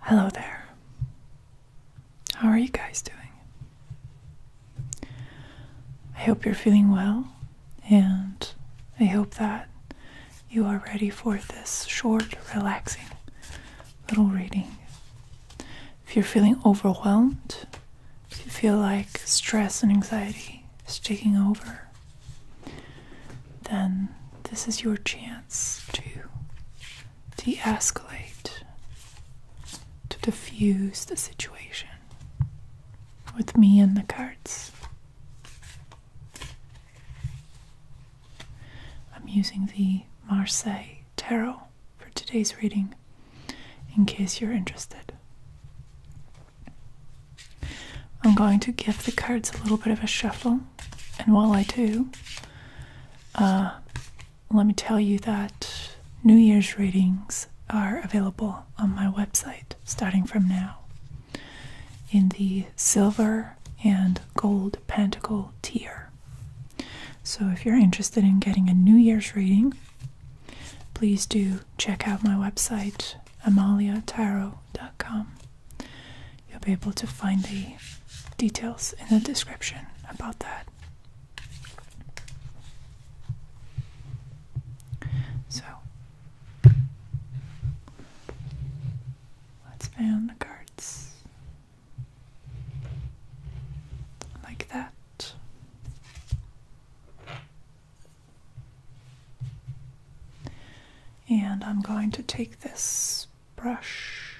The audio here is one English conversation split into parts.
Hello there. How are you guys doing? I hope you're feeling well, and I hope that you are ready for this short, relaxing little reading if you're feeling overwhelmed, if you feel like stress and anxiety is taking over, then this is your chance to de escalate, to diffuse the situation with me and the cards. I'm using the Marseille Tarot for today's reading in case you're interested. I'm going to give the cards a little bit of a shuffle, and while I do, uh, let me tell you that New Year's readings are available on my website starting from now in the silver and gold pentacle tier. So if you're interested in getting a New Year's reading, please do check out my website amaliatarot.com. You'll be able to find the details in the description about that. So let's fan the cards like that. And I'm going to take this brush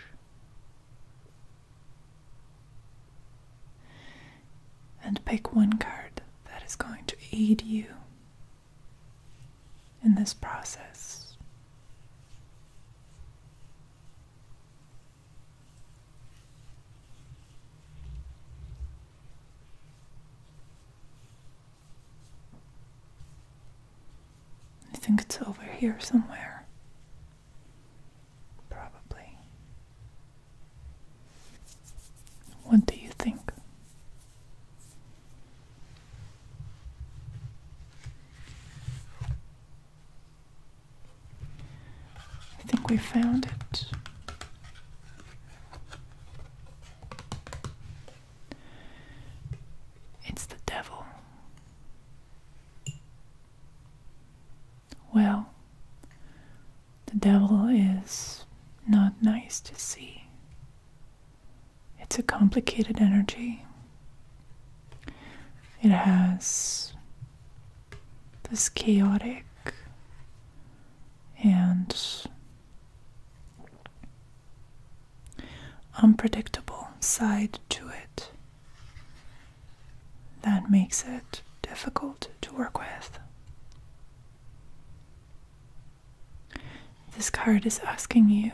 and pick one card that is going to aid you in this process. I think it's over here somewhere. Probably. What do you think? I think we found it. It's the devil. Well, the devil is not nice to see. It's a complicated energy. It has this chaotic and unpredictable side to it that makes it difficult to work with. This card is asking you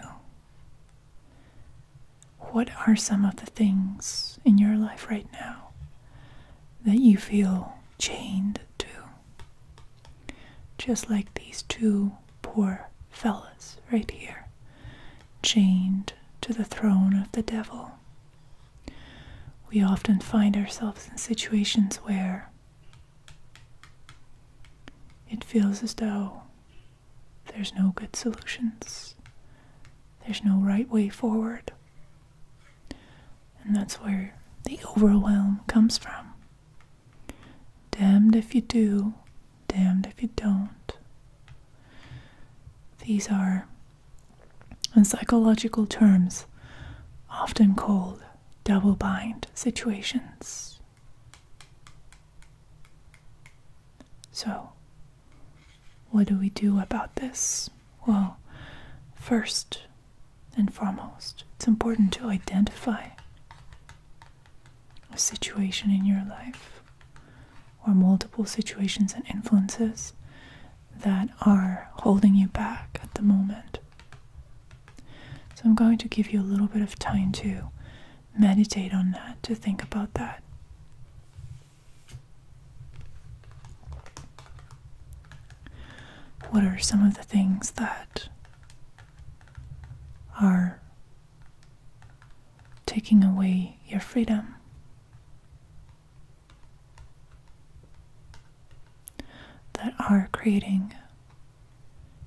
what are some of the things in your life right now that you feel chained to? Just like these two poor fellas right here, chained to the throne of the devil. We often find ourselves in situations where it feels as though there's no good solutions, there's no right way forward. And that's where the overwhelm comes from. Damned if you do, damned if you don't. These are, in psychological terms, often called double bind situations. So, what do we do about this? Well, first and foremost, it's important to identify a situation in your life or multiple situations and influences that are holding you back at the moment. So I'm going to give you a little bit of time to meditate on that, to think about that. What are some of the things that are taking away your freedom? That are creating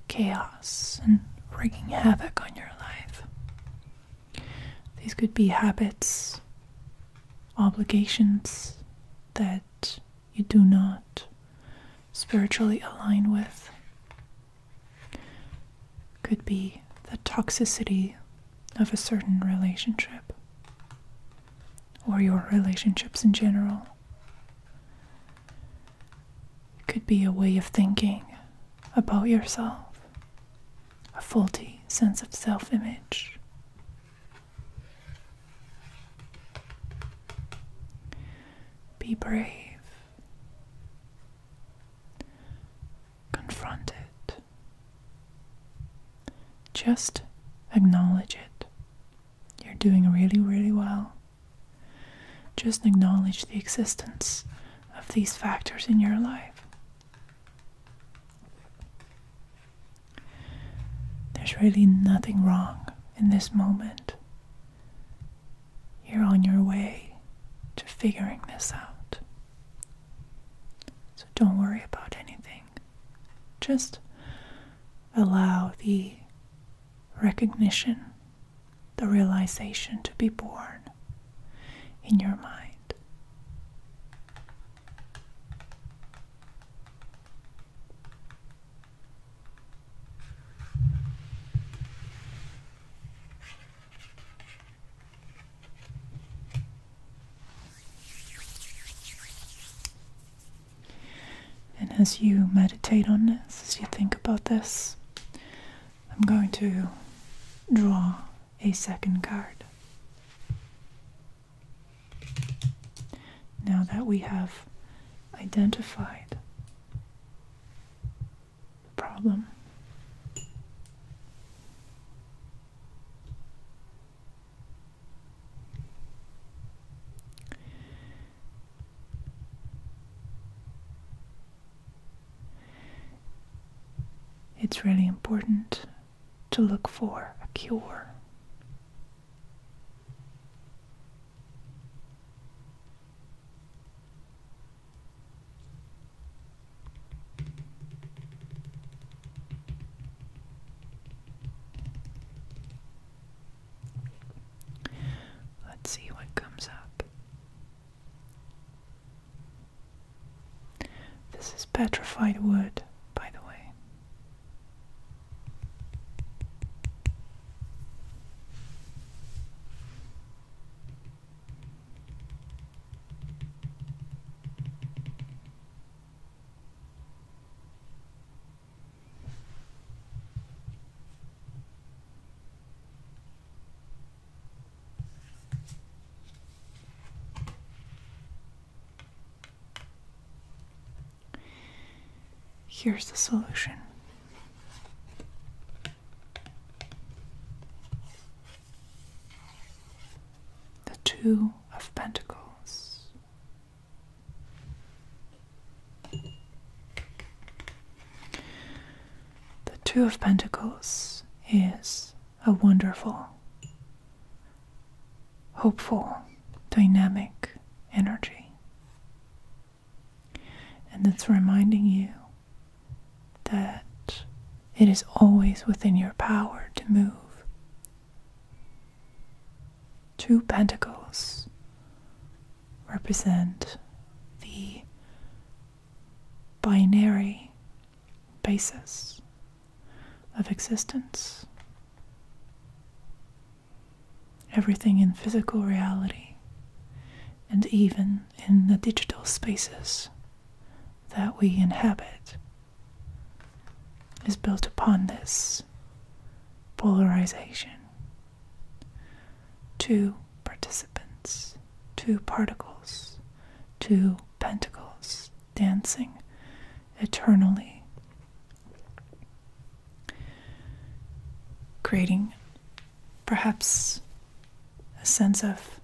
chaos and wreaking havoc on your life. These could be habits, obligations that you do not spiritually align with. Could be the toxicity of a certain relationship or your relationships in general. It could be a way of thinking about yourself, a faulty sense of self image. Be brave. Confront it. Just acknowledge it. You're doing really, really well. Just acknowledge the existence of these factors in your life. There's really nothing wrong in this moment. You're on your way to figuring this out. So don't worry about anything. Just allow the recognition, the realization to be born in your mind. And as you meditate on this, as you think about this, I'm going to draw a second card. Now that we have identified the problem, it's really important to look for a cure. Let's see what comes up. This is petrified wood, by the way. Here's the solution. The Two of Pentacles. The Two of Pentacles is a wonderful, hopeful, dynamic energy. And it's reminding you that it is always within your power to move Two pentacles represent the binary basis of existence. Everything in physical reality and even in the digital spaces that we inhabit is built upon this polarization. Two participants, two particles, two pentacles dancing eternally, creating perhaps a sense of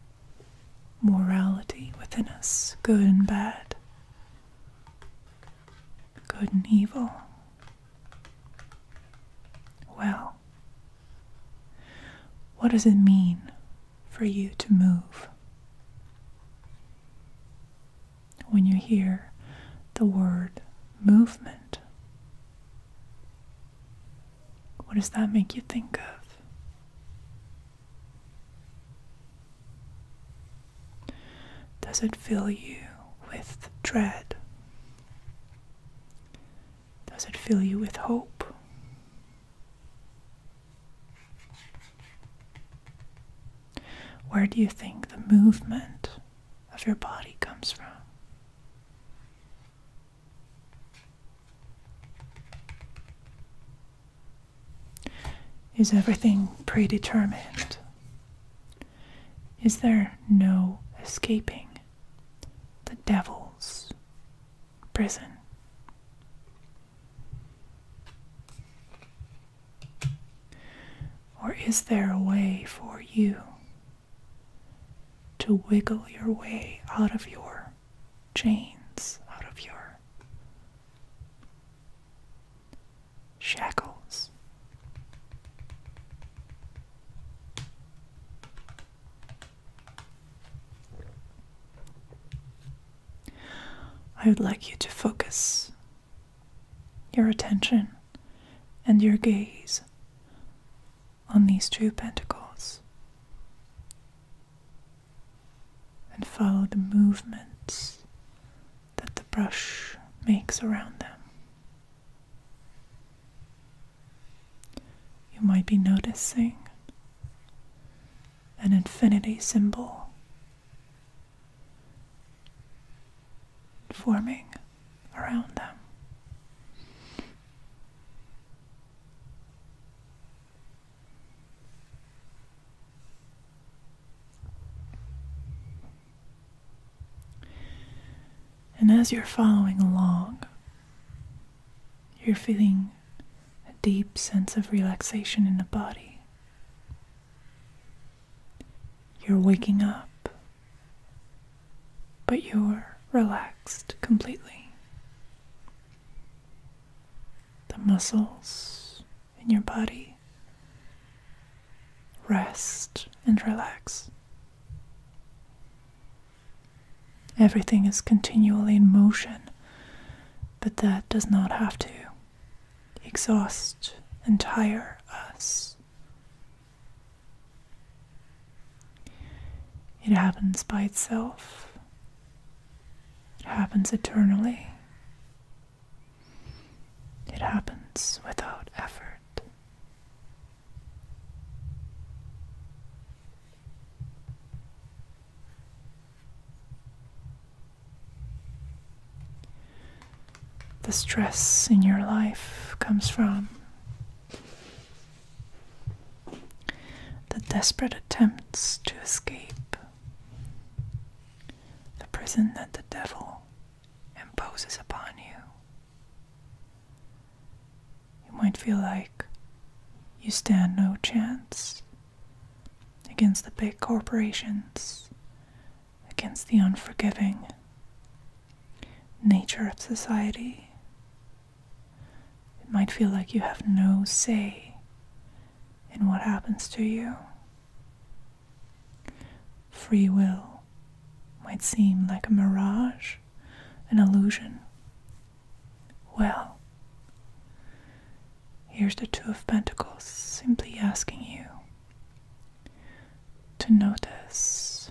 morality within us, good and bad, Good and evil. Well, what does it mean for you to move? When you hear the word movement, what does that make you think of? Does it fill you with dread? Does it fill you with hope? Where do you think the movement of your body comes from? Is everything predetermined? Is there no escaping the devil's prison? Or is there a way for you to wiggle your way out of your chains, out of your shackles. I would like you to focus your attention and your gaze on these two pentacles and follow the movements that the brush makes around them. You might be noticing an infinity symbol forming around them. And as you're following along, you're feeling a deep sense of relaxation in the body. You're waking up, but you're relaxed completely the muscles in your body. Rest and relax. Everything is continually in motion, but that does not have to exhaust and tire us. It happens by itself. It happens eternally. It happens without effort. The stress in your life comes from the desperate attempts to escape. The prison that the devil imposes upon you. You might feel like you stand no chance against the big corporations, against the unforgiving nature of society, it might feel like you have no say in what happens to you. Free will might seem like a mirage, an illusion. Well, here's the Two of Pentacles simply asking you to notice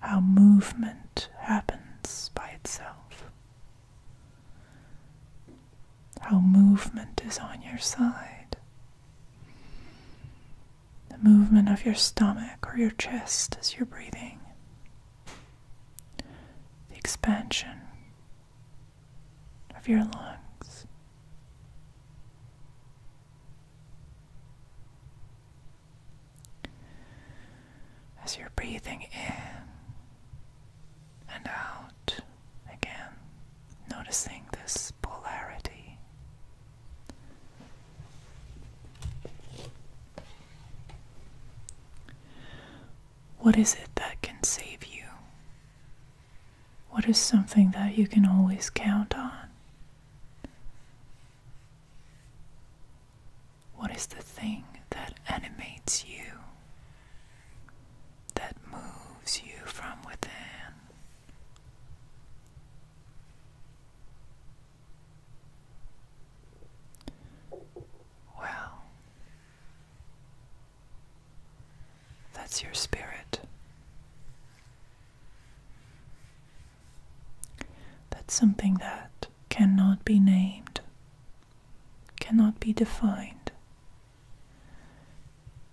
how movement happens by itself, how movement is on your side, the movement of your stomach or your chest as you're breathing, the expansion of your lungs. As you're breathing in and out again, noticing this polarity. What is it that can save you? What is something that you can always count on? What is the thing that animates you, that moves you from within? Well, that's your spirit. That's something that cannot be named, cannot be defined,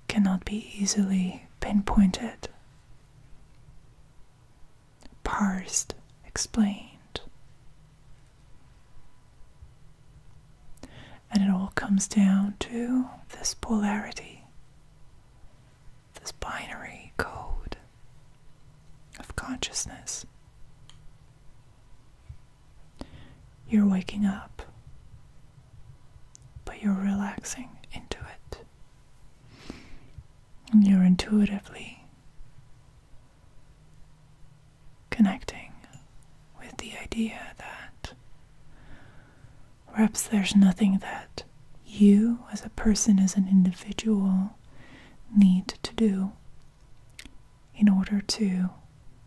cannot be easily pinpointed, parsed, explained. And it all comes down to this polarity this binary code of consciousness. You're waking up, but you're relaxing into it. And you're intuitively connecting with the idea that Perhaps there's nothing that you, as a person, as an individual, need to do in order to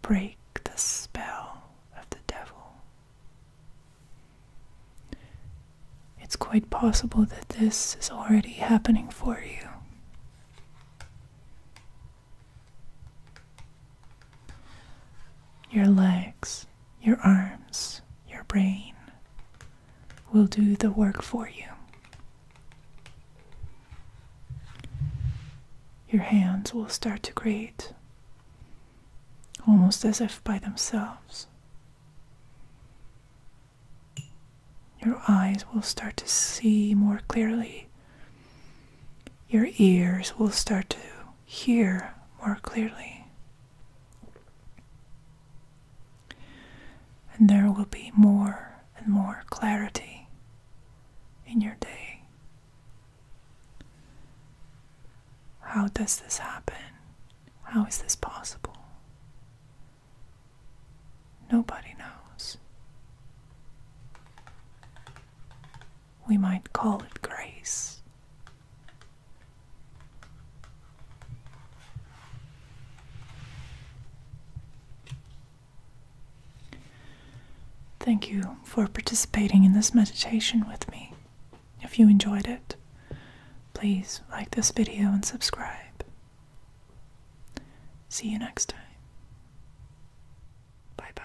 break the spell of the devil. It's quite possible that this is already happening for you. Your legs, your arms, your brain will do the work for you. Your hands will start to create, almost as if by themselves. Your eyes will start to see more clearly. Your ears will start to hear more clearly. And there will be more and more clarity in your day. How does this happen? How is this possible? Nobody knows we might call it grace. Thank you for participating in this meditation with me. If you enjoyed it, please like this video and subscribe. See you next time. Bye bye.